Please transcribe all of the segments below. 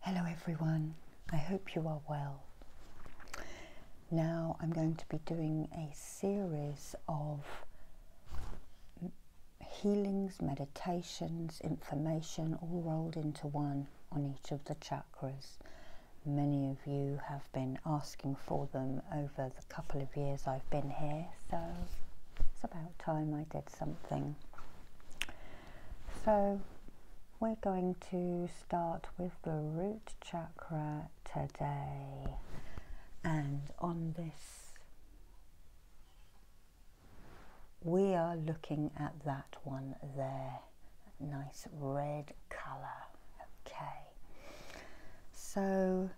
Hello everyone, I hope you are well. Now I'm going to be doing a series of healings, meditations, information all rolled into one on each of the chakras. Many of you have been asking for them over the couple of years I've been here, so it's about time I did something. So we're going to start with the root chakra today. And on this, we are looking at that one there, nice red colour. Okay. So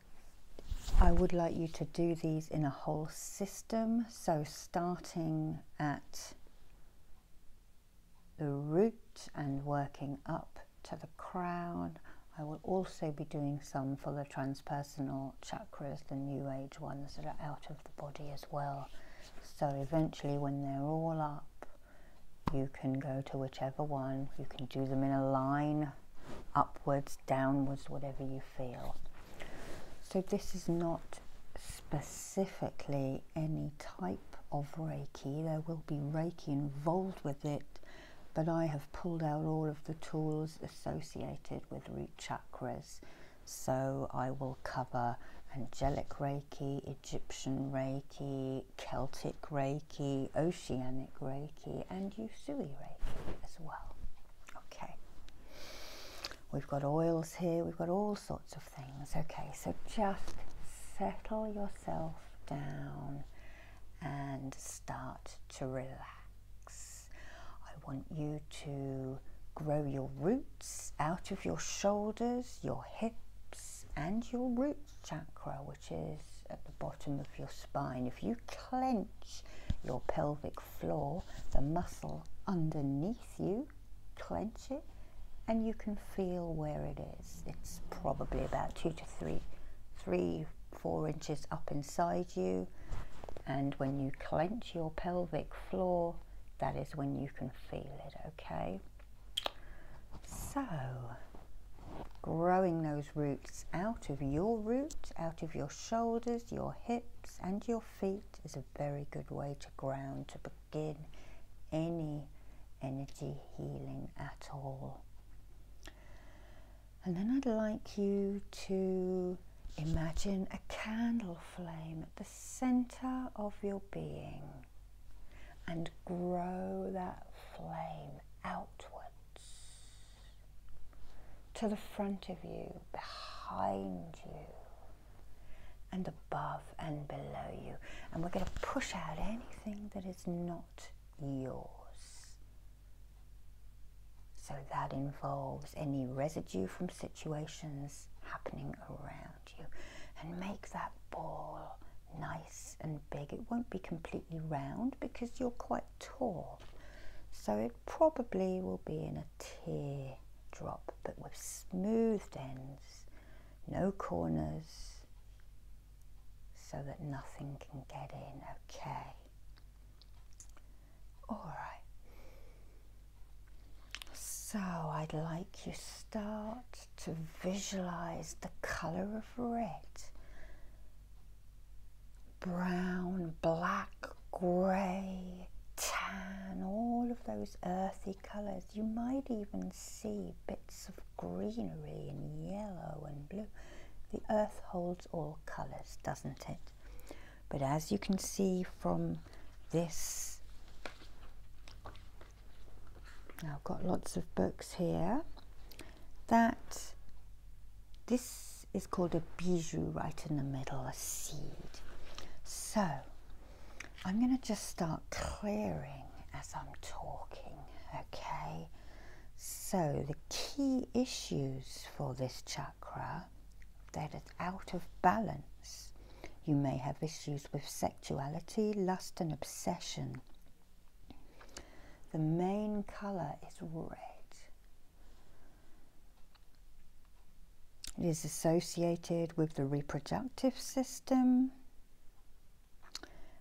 I would like you to do these in a whole system so starting at the root and working up to the crown. I will also be doing some for the transpersonal chakras, the new age ones that are out of the body as well. So eventually when they're all up, you can go to whichever one. You can do them in a line, upwards, downwards, whatever you feel. So this is not specifically any type of Reiki. There will be Reiki involved with it, but I have pulled out all of the tools associated with root chakras. So I will cover angelic Reiki, Egyptian Reiki, Celtic Reiki, Oceanic Reiki, and Usui Reiki as well. Okay. We've got oils here, we've got all sorts of things. Okay, so just settle yourself down and start to relax. I want you to grow your roots out of your shoulders, your hips, and your root chakra, which is at the bottom of your spine. If you clench your pelvic floor, the muscle underneath you, clench it, and you can feel where it is. It's probably about two to three, three, four inches up inside you. And when you clench your pelvic floor, that is when you can feel it, okay? So, growing those roots out of your root, out of your shoulders, your hips, and your feet is a very good way to ground to begin any energy healing at all. And then I'd like you to imagine a candle flame at the center of your being and grow that flame outwards to the front of you, behind you, and above and below you. And we're going to push out anything that is not yours. So that involves any residue from situations happening around you. And make that ball nice and big. It won't be completely round because you're quite tall. So probably will be in a tear drop, but with smoothed ends, no corners, so that nothing can get in, okay? All right. So I'd like you start to visualize the color of red brown, black, grey, tan, all of those earthy colours. You might even see bits of greenery and yellow and blue. The earth holds all colours, doesn't it? But as you can see from this, I've got lots of books here, that this this is called a bijou right in the middle, a seed. So I'm going to just start clearing as I'm talking, okay? So the key issues for this chakra that it's out of balance. You may have issues with sexuality, lust and obsession. The main colour is red. It is associated with the reproductive system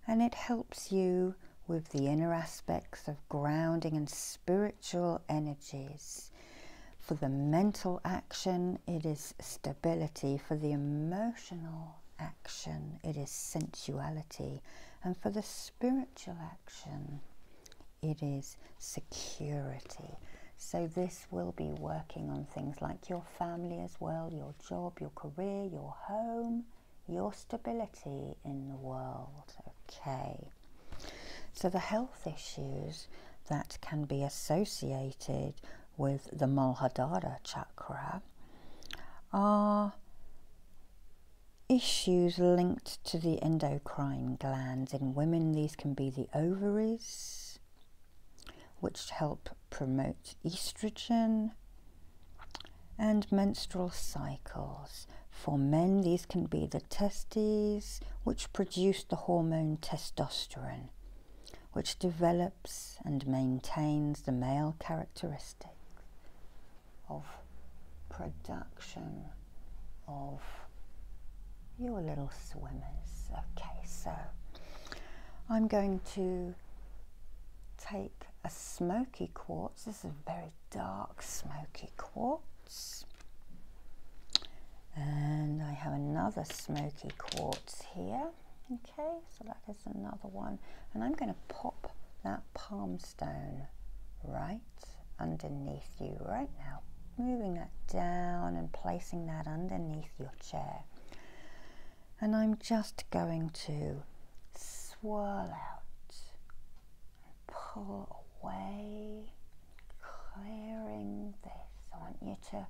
and it helps you with the inner aspects of grounding and spiritual energies. For the mental action, it is stability. For the emotional action, it is sensuality. And for the spiritual action, it is security. So this will be working on things like your family as well, your job, your career, your home, your stability in the world. Okay. So the health issues that can be associated with the Mulhadara chakra are issues linked to the endocrine glands. In women, the these can be the ovaries, which help promote estrogen, and menstrual cycles. For men, these can be the testes, which produce the hormone testosterone, which develops and maintains the male characteristics of production of your little swimmers. Okay, so I'm going to take a smoky quartz. This is a very dark smoky quartz. And I have another smoky quartz here. Okay, so that is another one. And I'm going to pop that palm stone right underneath you right now. Moving that down and placing that underneath your chair. And I'm just going to swirl out pull away, clearing this. I want you to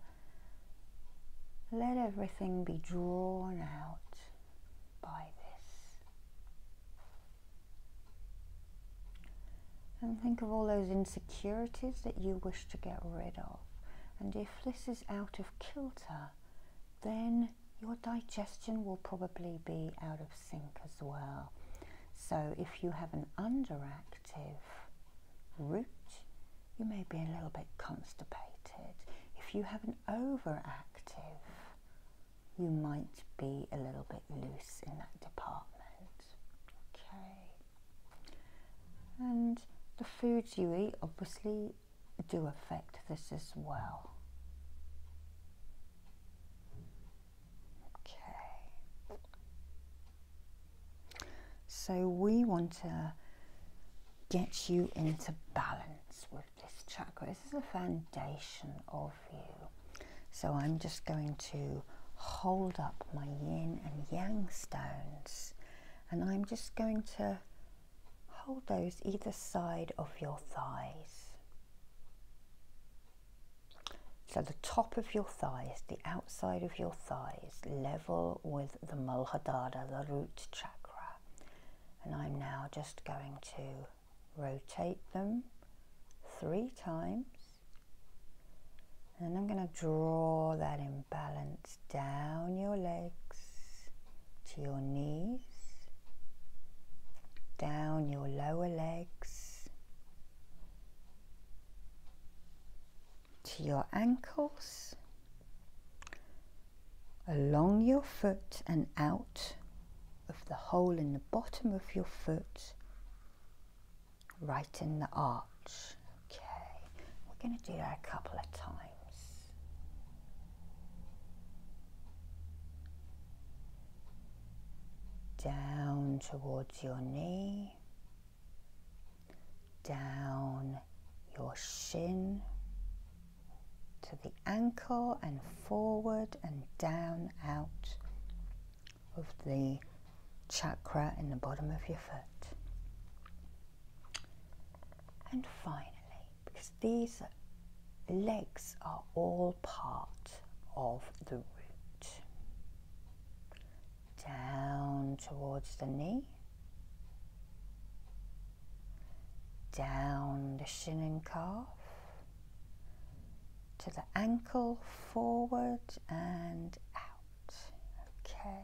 let everything be drawn out by this. And think of all those insecurities that you wish to get rid of. And if this is out of kilter, then your digestion will probably be out of sync as well. So if you have an underactive root, you may be a little bit constipated. If you have an overactive, you might be a little bit loose in that department. Okay. And the foods you eat obviously do affect this as well. Okay. So we want to get you into balance with this chakra. This is the foundation of so I'm just going to hold up my yin and yang stones and I'm just going to hold those either side of your thighs. So the top of your thighs, the outside of your thighs, level with the Muladhara, the root chakra. And I'm now just going to rotate them three times and I'm going to draw that imbalance down your legs to your knees, down your lower legs to your ankles, along your foot and out of the hole in the bottom of your foot right in the arch. Okay, we're going to do that a couple of times. Down towards your knee, down your shin to the ankle and forward and down out of the chakra in the bottom of your foot. And finally, because these legs are all part of the root, down towards the knee, down the shin and calf, to the ankle, forward and out. Okay.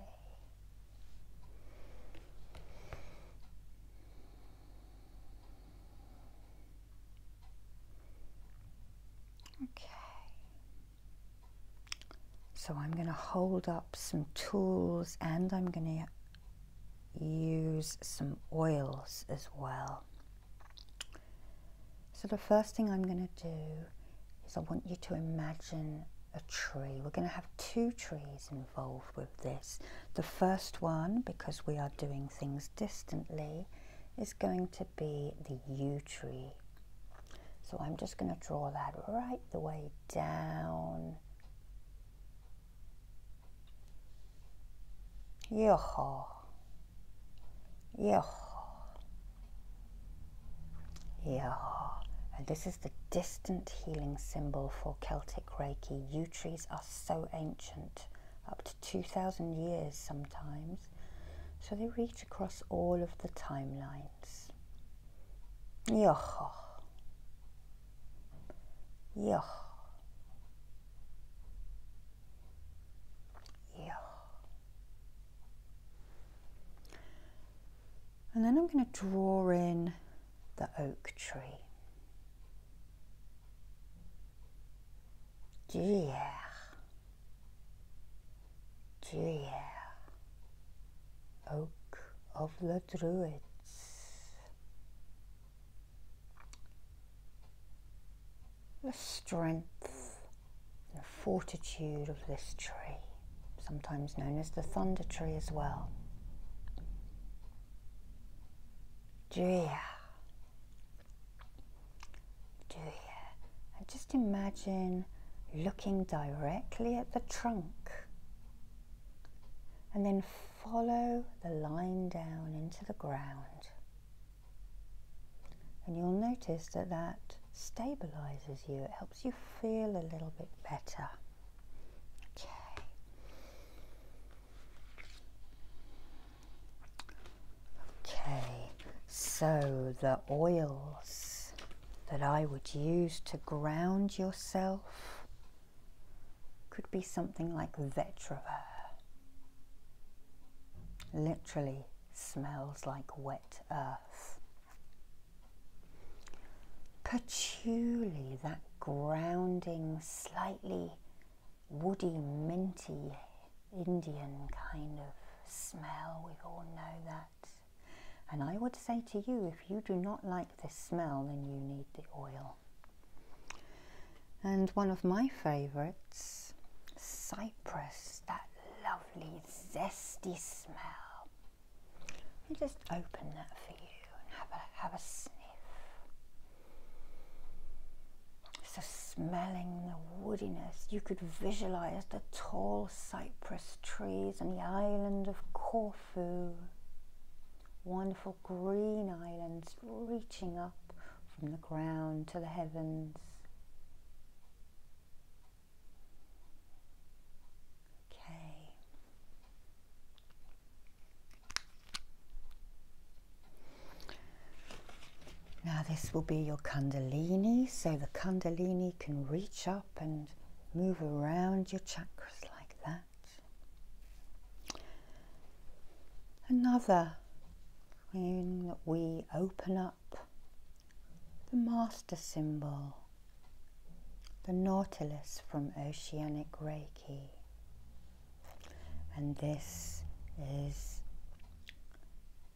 Okay. So I'm going to hold up some tools and I'm going to use some oils as well. So the first thing I'm going to do is I want you to imagine a tree. We're going to have two trees involved with this. The first one, because we are doing things distantly, is going to be the yew tree. So I'm just going to draw that right the way down. Yeehaw. Yeehaw. Yeehaw. And this is the distant healing symbol for Celtic Reiki. Yew trees are so ancient, up to 2,000 years sometimes. So they reach across all of the timelines. Yeehaw. Yeehaw. Yeah. And then I'm going to draw in the oak tree. Yeah. Yeah. Oak of the Druids the strength and fortitude of this tree, sometimes known as the thunder tree as well. Juya. Juya. And just imagine looking directly at the trunk and then follow the line down into the ground and you'll notice that that stabilizes you, it helps you feel a little bit better. Okay. Okay, so the oils that I would use to ground yourself could be something like vetiver. Literally smells like wet earth. Patchouli, that grounding, slightly woody, minty, Indian kind of smell. We all know that. And I would say to you, if you do not like this smell, then you need the oil. And one of my favourites, cypress, that lovely zesty smell. I'll just open that for you and have a have a sniff. So smelling the woodiness, you could visualize the tall cypress trees and the island of Corfu. Wonderful green islands reaching up from the ground to the heavens. Okay. Now this will be your kundalini, so the kundalini can reach up and move around your chakras like that. Another when we open up the master symbol, the nautilus from Oceanic Reiki. And this is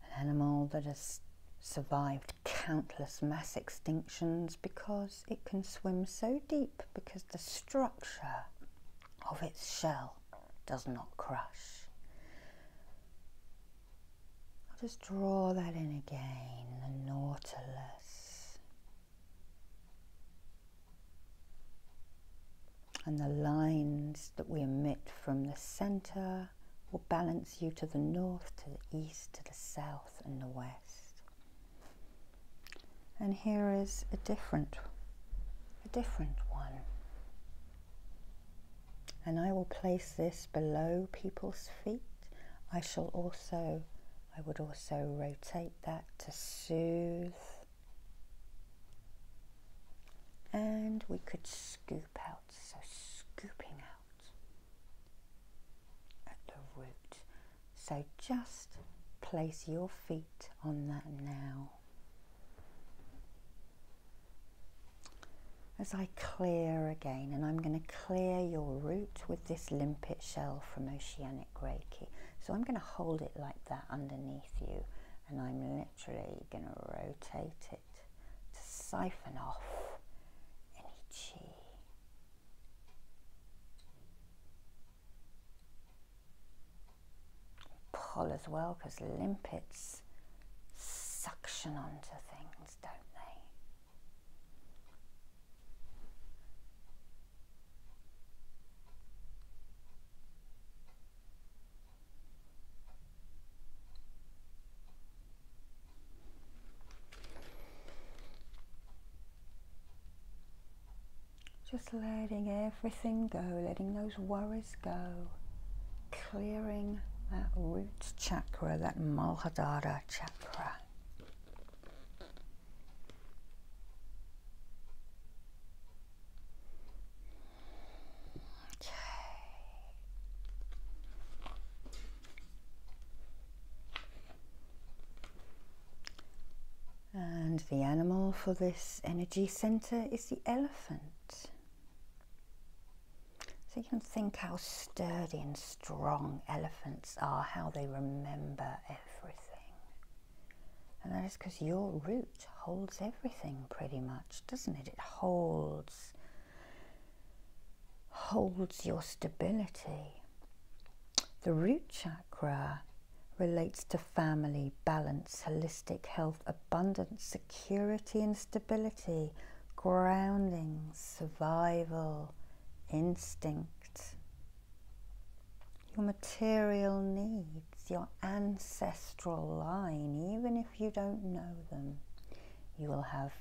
an animal that has survived countless mass extinctions because it can swim so deep because the structure of its shell does not crush. I'll just draw that in again, the nautilus. And the lines that we emit from the centre will balance you to the north, to the east, to the south and the west. And here is a different, a different one. And I will place this below people's feet. I shall also, I would also rotate that to soothe. And we could scoop out, so scooping out at the root. So just place your feet on that now as I clear again, and I'm going to clear your root with this limpet shell from Oceanic Reiki. So I'm going to hold it like that underneath you, and I'm literally going to rotate it to siphon off any chi. Pull as well, because limpets suction onto things, don't they? Just letting everything go, letting those worries go clearing that root chakra, that Muladhara chakra. Okay. And the animal for this energy center is the elephant. So you can think how sturdy and strong elephants are, how they remember everything. And that is because your root holds everything pretty much, doesn't it? It holds holds your stability. The root chakra relates to family, balance, holistic health, abundance, security and stability, grounding, survival, instinct, your material needs, your ancestral line, even if you don't know them, you will have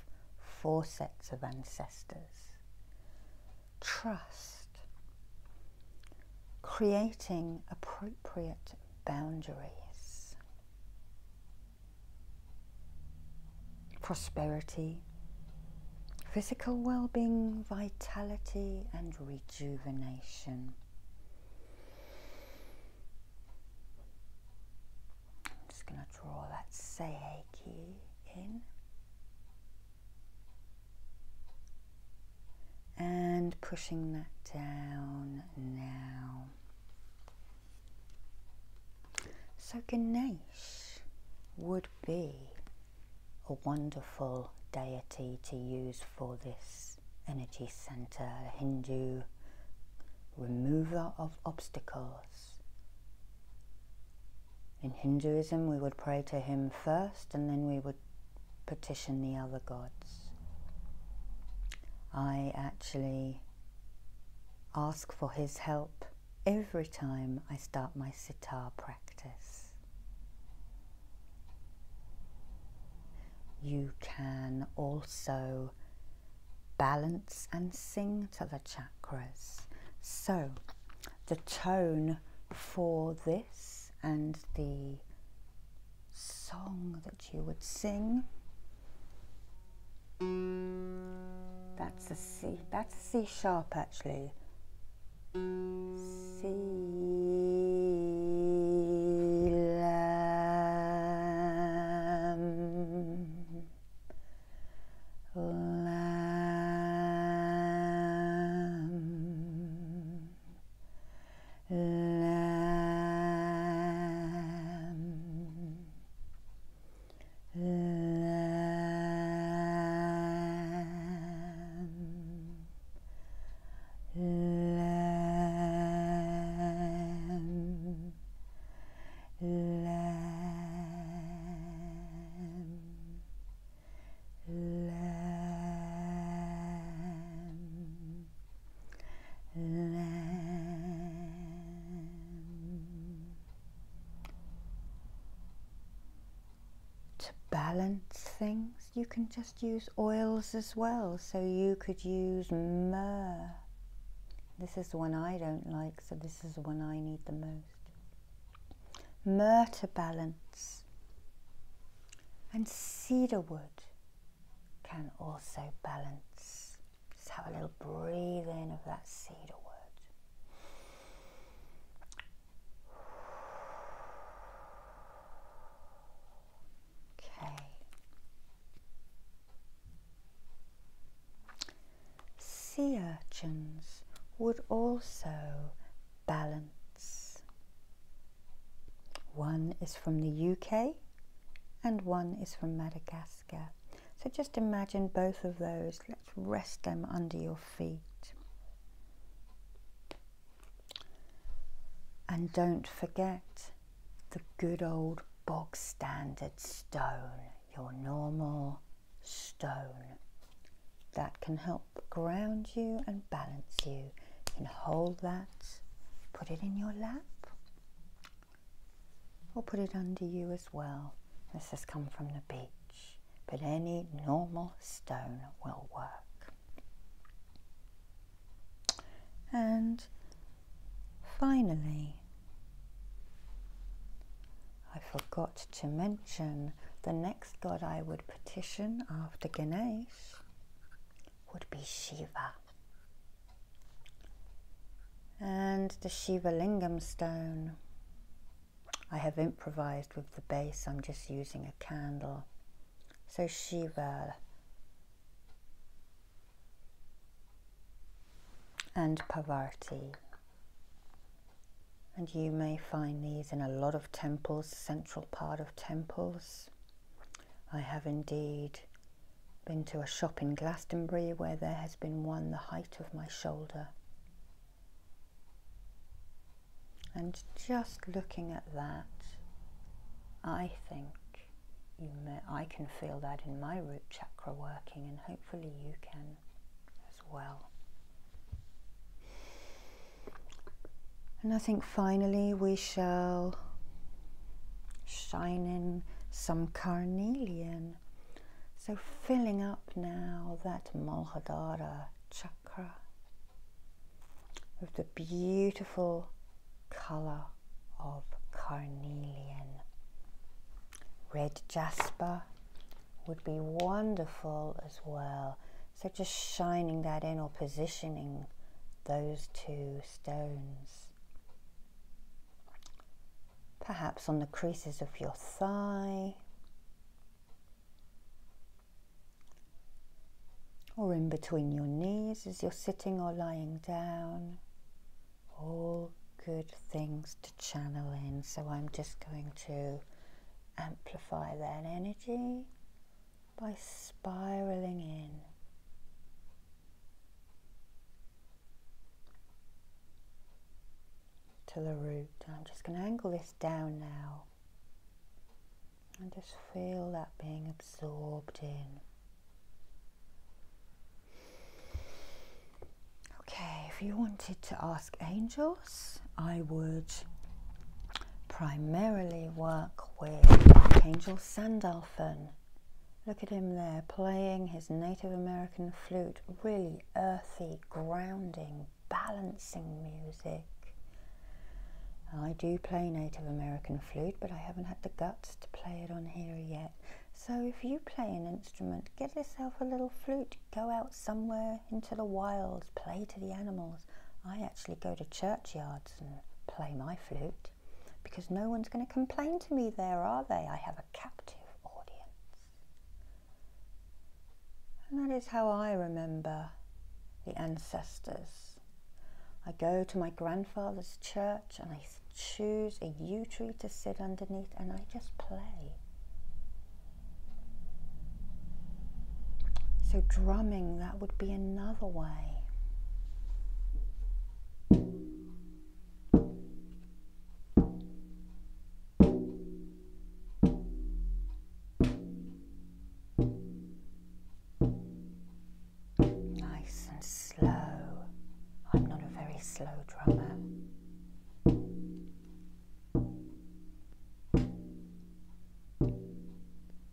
four sets of ancestors. Trust, creating appropriate boundaries. Prosperity, physical well being, vitality, and rejuvenation. I'm just going to draw that Seiki in. And pushing that down now. So Ganesh would be a wonderful deity to use for this energy center, Hindu remover of obstacles. In Hinduism, we would pray to him first and then we would petition the other gods. I actually ask for his help every time I start my sitar practice. You can also balance and sing to the chakras. So the tone for this and the song that you would sing that's a C, that's a C sharp actually. C lamb, lamb, lamb, lamb, lamb, lamb, lamb. To balance things, you can just use oils as well. So you could use myrrh. This is the one I don't like, so this is the one I need the most. Myrrh to balance. And cedarwood can also balance. Just have a little breathing of that cedar wood. Okay. Sea urchins would also balance. One is from the UK and one is from Madagascar. So just imagine both of those. Let's rest them under your feet. And don't forget the good old bog standard stone, your normal stone. That can help ground you and balance you. You can hold that, put it in your lap, I'll put it under you as well. This has come from the beach, but any normal stone will work. And finally, I forgot to mention the next god I would petition after Ganesh would be Shiva. And the Shiva Lingam stone. I have improvised with the base, I'm just using a candle. So Shiva and Parvati. And you may find these in a lot of temples, central part of temples. I have indeed been to a shop in Glastonbury where there has been one the height of my shoulder. And just looking at that, I think may, I can feel that in my root chakra working, and hopefully you can as well. And I think finally we shall Shining some carnelian. So filling up now that Malhadara chakra with the beautiful colour of carnelian. Red jasper would be wonderful as well. So just shining that in or positioning those two stones. Perhaps on the creases of your thigh or in between your knees as you're sitting or lying down. All good things to channel in. So I'm just going to amplify that energy by spiraling in to the root. I'm just going to angle this down now and just feel that being absorbed in. Okay, if you wanted to ask angels, I would primarily work with Archangel Sandalphon. Look at him there playing his Native American flute, really earthy, grounding, balancing music. I do play Native American flute, but I haven't had the guts to play it on here yet. So if you play an instrument, get yourself a little flute, go out somewhere into the wilds, play to the animals. I actually go to churchyards and play my flute because no one's going to complain to me there, are they? I have a captive audience. And that is how I remember the ancestors. I go to my grandfather's church and I choose a yew tree to sit underneath and I just play. So drumming, that would be another way. Nice and slow. I'm not a very slow drummer.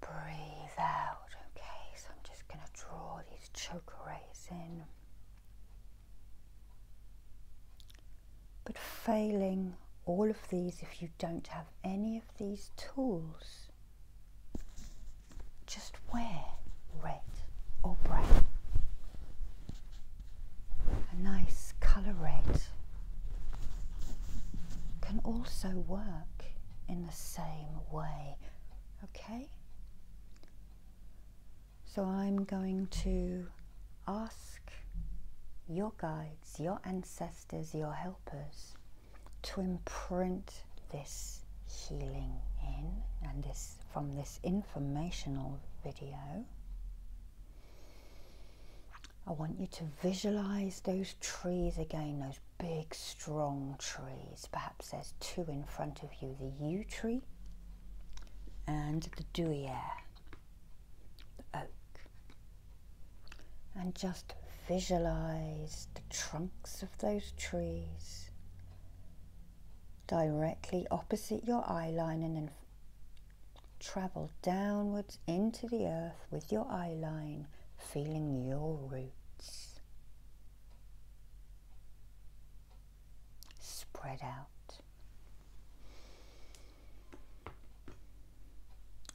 breathe out. Okay, so I'm just going to draw these choker rays in. But failing all of these, if you don't have any of these tools, just wear red or brown a nice colorate can also work in the same way. Okay? So I'm going to ask your guides, your ancestors, your helpers to imprint this healing in and this from this informational video. I want you to visualize those trees again, those big strong trees. Perhaps there's two in front of you, the yew tree and the dewyer, the oak. And just visualize the trunks of those trees directly opposite your eye line and then travel downwards into the earth with your eye line, feeling your roots. Spread out.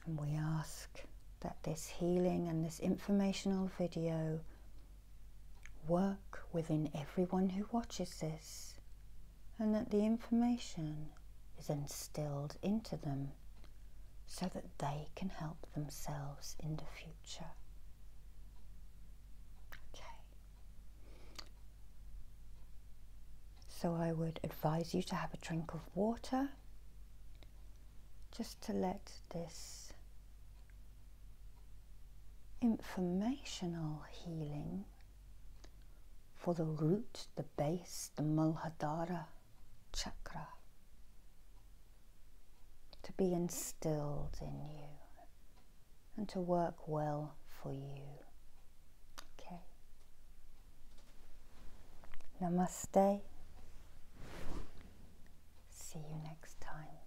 And we ask that this healing and this informational video work within everyone who watches this, and that the information is instilled into them so that they can help themselves in the future. Okay. So I would advise you to have a drink of water just to let this informational healing for the root, the base, the Muladhara chakra to be instilled in you and to work well for you. Okay. Namaste. See you next time.